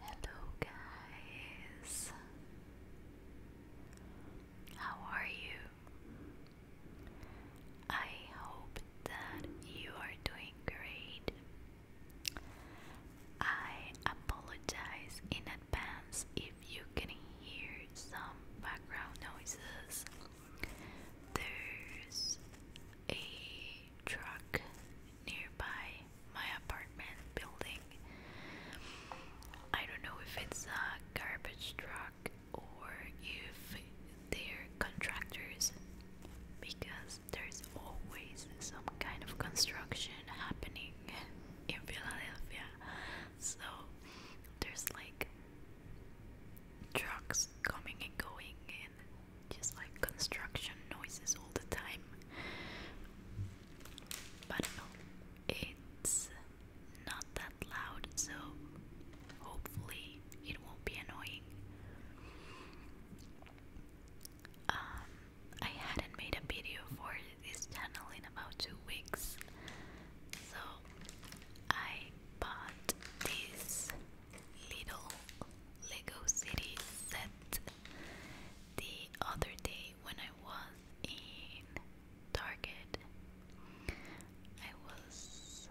Hello, guys. How are you? I hope that you are doing great. I apologize in advance if you can hear some background noises. There's a truck nearby my apartment building. I don't know if it's a garbage truck or if they're contractors because there's always some kind of construction happening in Philadelphia. So there's like trucks coming and going just like construction noises all the time. But no, it's not that loud, so hopefully it won't be annoying. Um, I hadn't made a video for this channel in about two weeks, so I bought this little Lego City set the other day when I was in Target, I was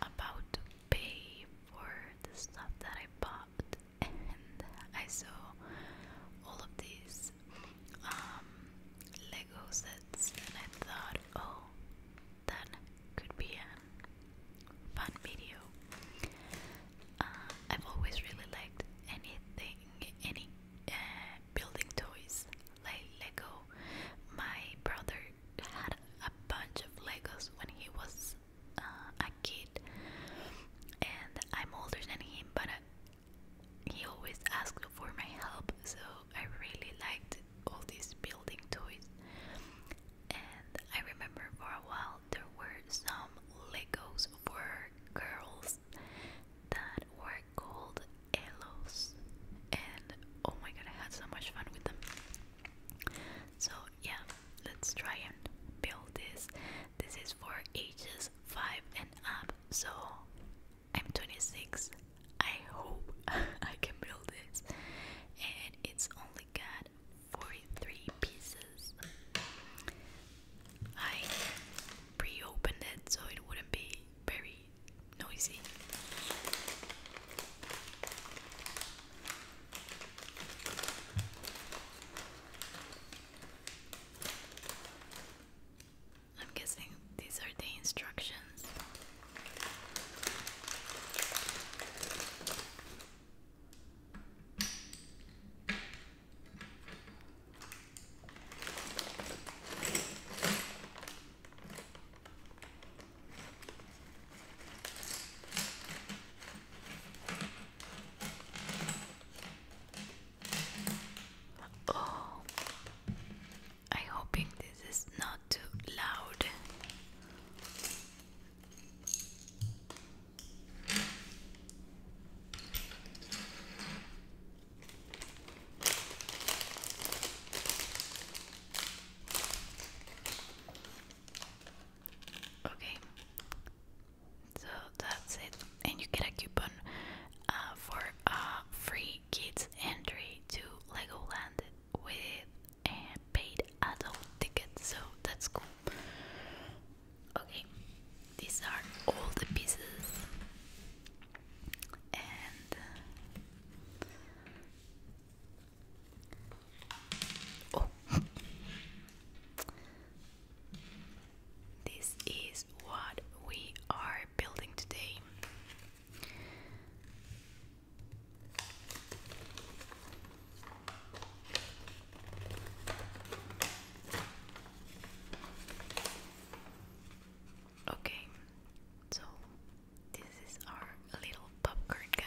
about to pay for the stuff that I bought, and I saw all of these um, Lego sets, and I thought, oh, that could be a fun, fun video. Uh, I've always really liked anything, any uh, building toys like Lego. My brother had a bunch of Legos when he was uh, a kid, and I'm older than him, but uh, he always asked for my help, so I really liked all these building toys. And I remember for a while there were some Legos for girls that were called Elos, and oh my god, I had so much fun with them. So, yeah, let's try and build this. This is for ages 5 and up, so I'm 26. I hope I can build this, and it's only got 43 pieces. I pre opened it so it wouldn't be very noisy. I'm guessing these are the instructions. Oh, I'm hoping this is not too loud. Okay, so that's it, and you get a coupon uh, for a uh, free kids entry to Legoland with a paid adult ticket. So that's cool. Okay, these are all the pieces, and oh. this is what we are building today. Okay, so this is our little popcorn guy,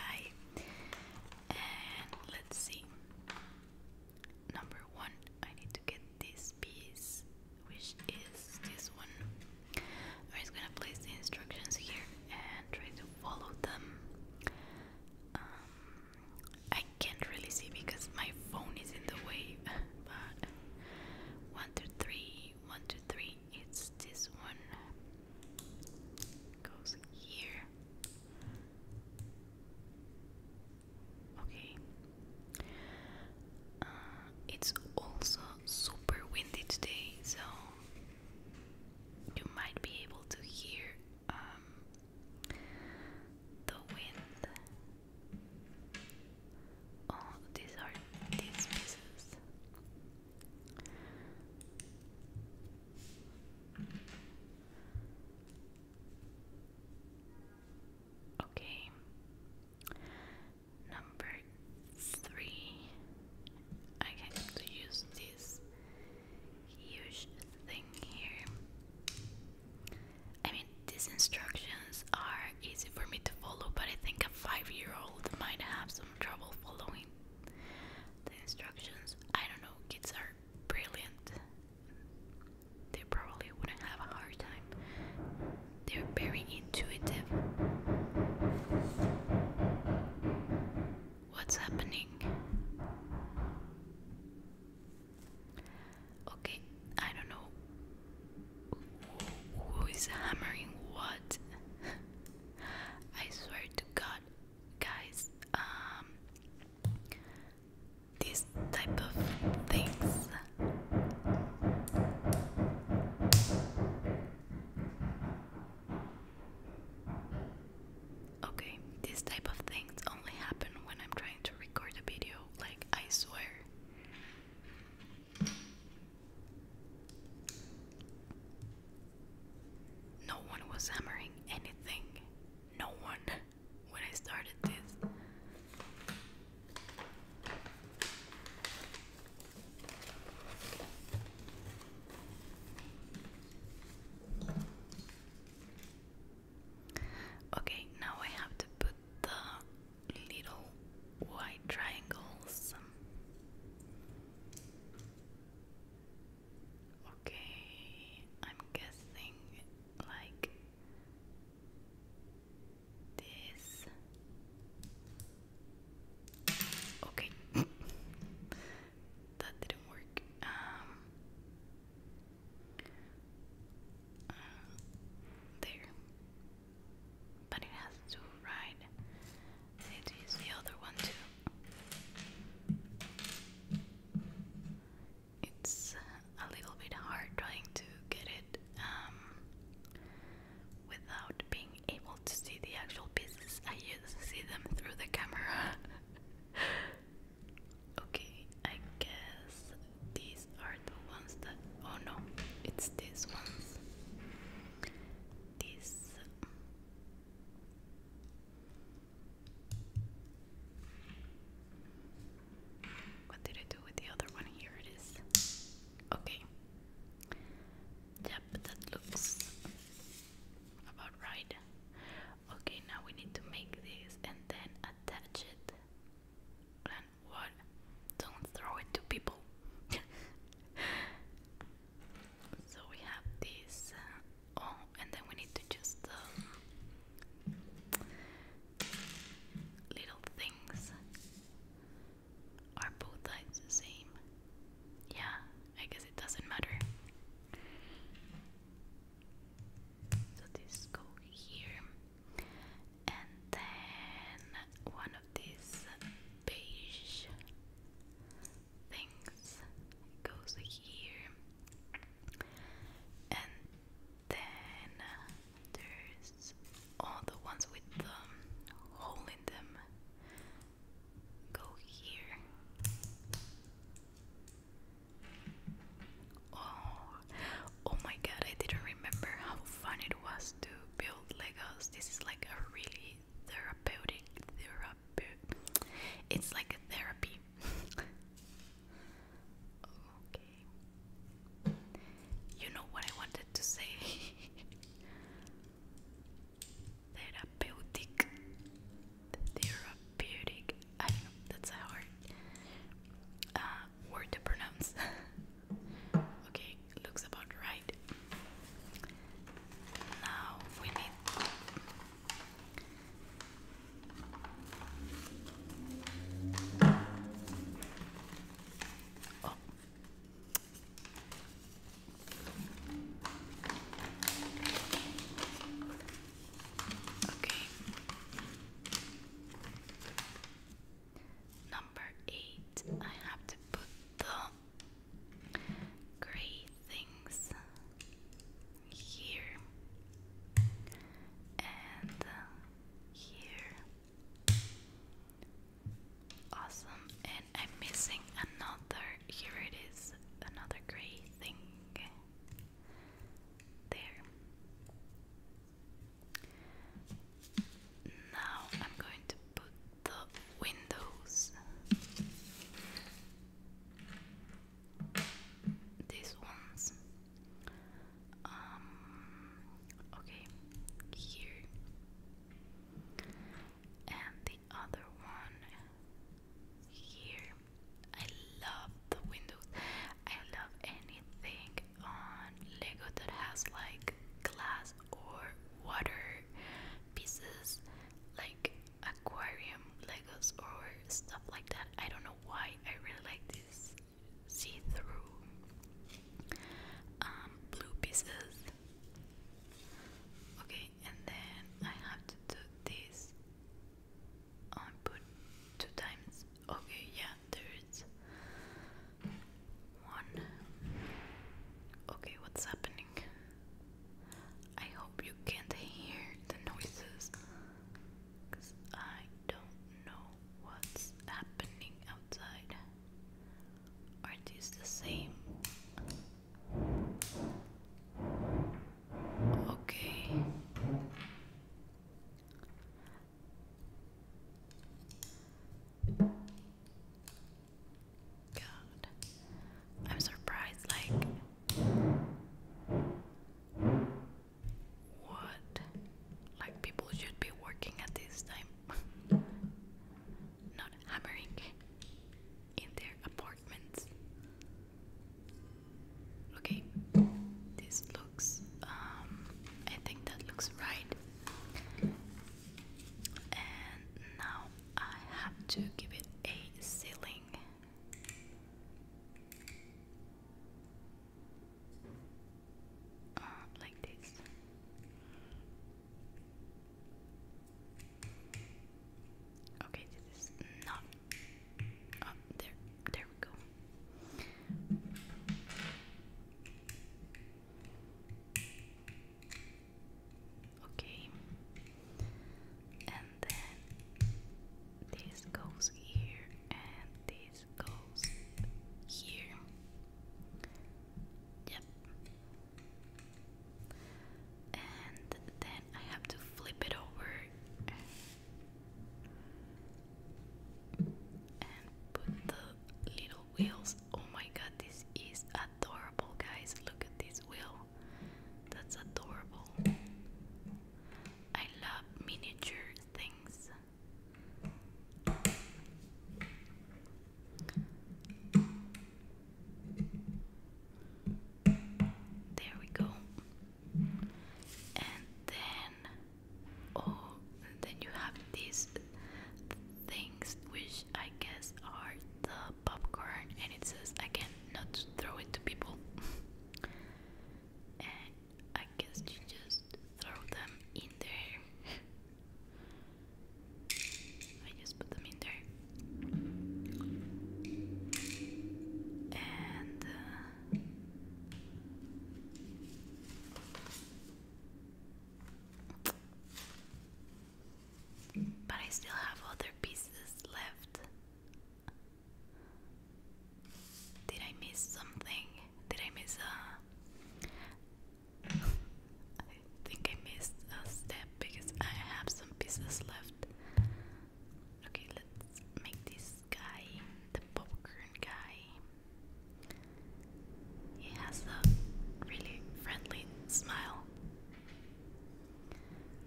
and let's see. Number one, I need to get this piece, which is this one. I'm just gonna place the instructions here and try to follow them. Um, I can't really see because my phone is in the way. but one, two, three, one, two, three. It's this one. Goes here. Okay. Uh, it's also super windy today, so you might be able to hear um, the wind. Oh, these are these pieces. Okay. Number three. I have use this huge thing here. I mean, these instructions are easy for me to follow, but I think a five year old might have some trouble following the instructions. I don't know, kids are brilliant. They probably wouldn't have a hard time. They're very intuitive. What's happening? Okay, I don't know who is hammering what. I swear to God, guys, um, this type of things. Okay, this type of things only happen when I'm trying to record a video, like, I swear. No one was hammering anything. No one when I started this. Okay, now I have to put the little white triangles. Okay, I'm guessing like this. Okay. that didn't work. Um, um, there, but it has to ride. It is the other one too. It's a little bit hard trying to get it um, without being able to see the actual pieces. I used to see them through the camera. Okay, I guess these are the ones that. Oh no, it's these ones. These. What did I do with the other one? Here it is. Okay. Yep, that looks about right okay now we need to make this and then attach it and what don't throw it to people so we have this uh, oh and then we need to just um, little things are both sides the same yeah I guess it doesn't matter so this go here and then one of these beige things goes here and then there's all the ones with the hole in them go here Oh, oh my god, I didn't remember how fun it was to build Legos. This is like a really therapeutic therapy. It's like a therapy. You know what I wanted to say. Therapeutic therapeutic. I know, that's a hard uh, word to pronounce. okay, looks about right. Now we need. Oh. Okay. Number eight, I have to put the gray things here and uh, here. Awesome, and I'm missing another. Here it is, another gray thing. There. Now I'm going to put the windows. These ones. Um, okay, here. And the other one here. I love the windows. I love anything on Lego that has like glass or water pieces, like aquarium Legos or stuff like that. I don't know why I really like this see-through um, blue pieces. Okay, and then I have to do this I put two times. Okay, yeah, there is one. Okay, what's happening? I hope you can't hear the noises I don't know what's happening outside. Are these the same? Okay. God. I'm surprised, like, what? Like, people should be working at this time, not hammering in their apartments. Okay, this looks, um, I think that looks right. And now I have to give it a ceiling. Uh, like this. Okay, this is not Oh, there, there we go. Okay, and then this goes here, and this goes here. Yep. And then I have to flip it over and put the little wheels. Oh my god, this is adorable, guys. Look at this wheel. That's adorable. I love miniature things. There we go and then oh then you have these things which I guess are the popcorn and it says again not throw it to people and I guess you just throw them in there I just put them in there and uh, but I still have other pieces left. Did I miss something? Did I miss a. I think I missed a step because I have some pieces left. Okay, let's make this guy, the popcorn guy. He has the really friendly smile.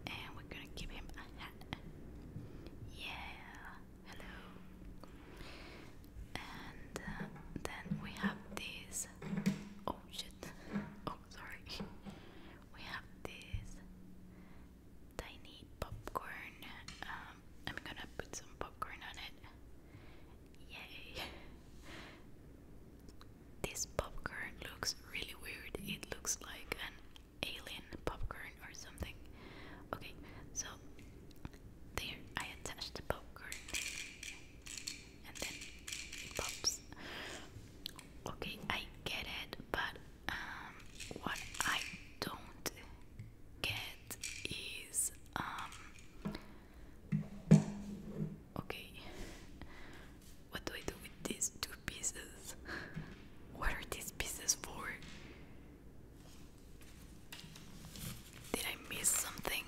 And we're gonna give him a hat. Yeah, hello. And uh, then we have this. Oh shit. Oh, sorry. We have this tiny popcorn. Um, I'm gonna put some popcorn on it. Yay! this popcorn looks really weird. It looks like an alien popcorn or something. Okay, so there I attached the popcorn and then pops. Okay, I get it, but um, what I don't get is um, okay. What do I do with these two pieces? What are these pieces for? Did I miss something?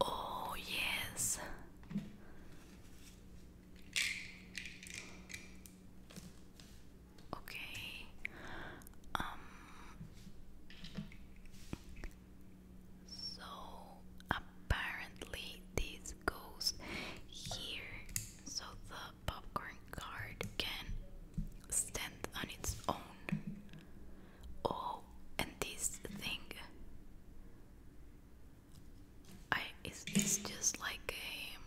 Oh, yes. Okay. Um so apparently this goes here so the popcorn card can stand on its own. Oh and this thing I it's, it's just like a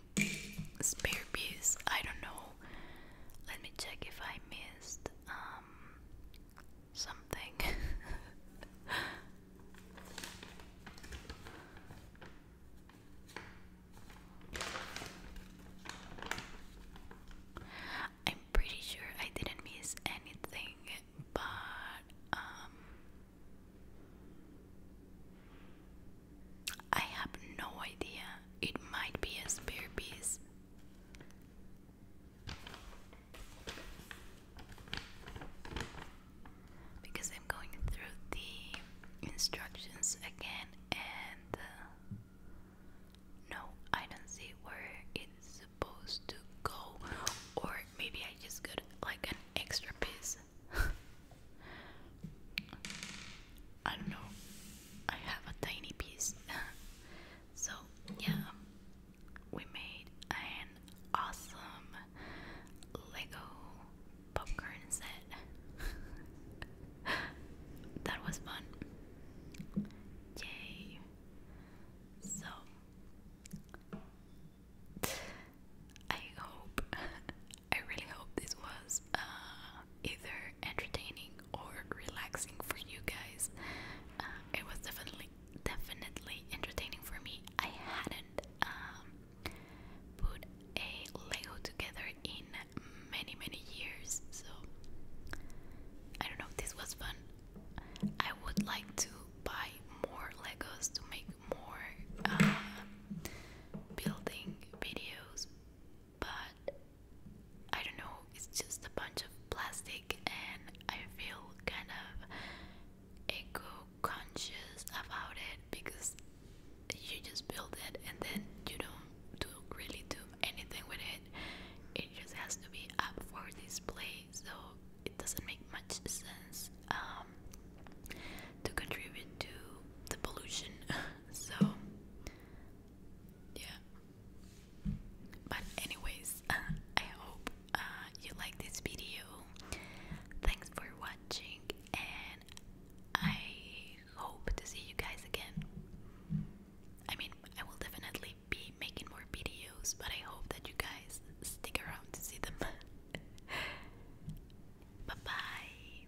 spare piece. I don't know. Let me check if I missed um, something. I'm pretty sure I didn't miss anything, but um, I have no idea. It might be a spare piece. Because I'm going through the instructions again and uh, no, I don't see where it's supposed to go. Or maybe I just got like an extra piece. I don't know. I have a tiny piece. so, yeah, we made an awesome Lego popcorn set. that was fun. Yay. So, I hope, I really hope this was uh, either entertaining or relaxing for you guys. Uh, it was definitely definitely entertaining for me. I hadn't um, put a Lego together in many many years, so I don't know. This was fun. I would like to buy more Legos to make more uh, building videos but I don't know, it's just a bunch of plastic, and I feel kind of eco conscious about it because you just build it and then you don't really do anything with it, it just has to be up for display, so it doesn't make much sense um, to contribute to the pollution. so yeah but anyways I hope uh, you like this video thanks for watching and I hope to see you guys again I mean I will definitely be making more videos but I hope that you guys stick around to see them bye bye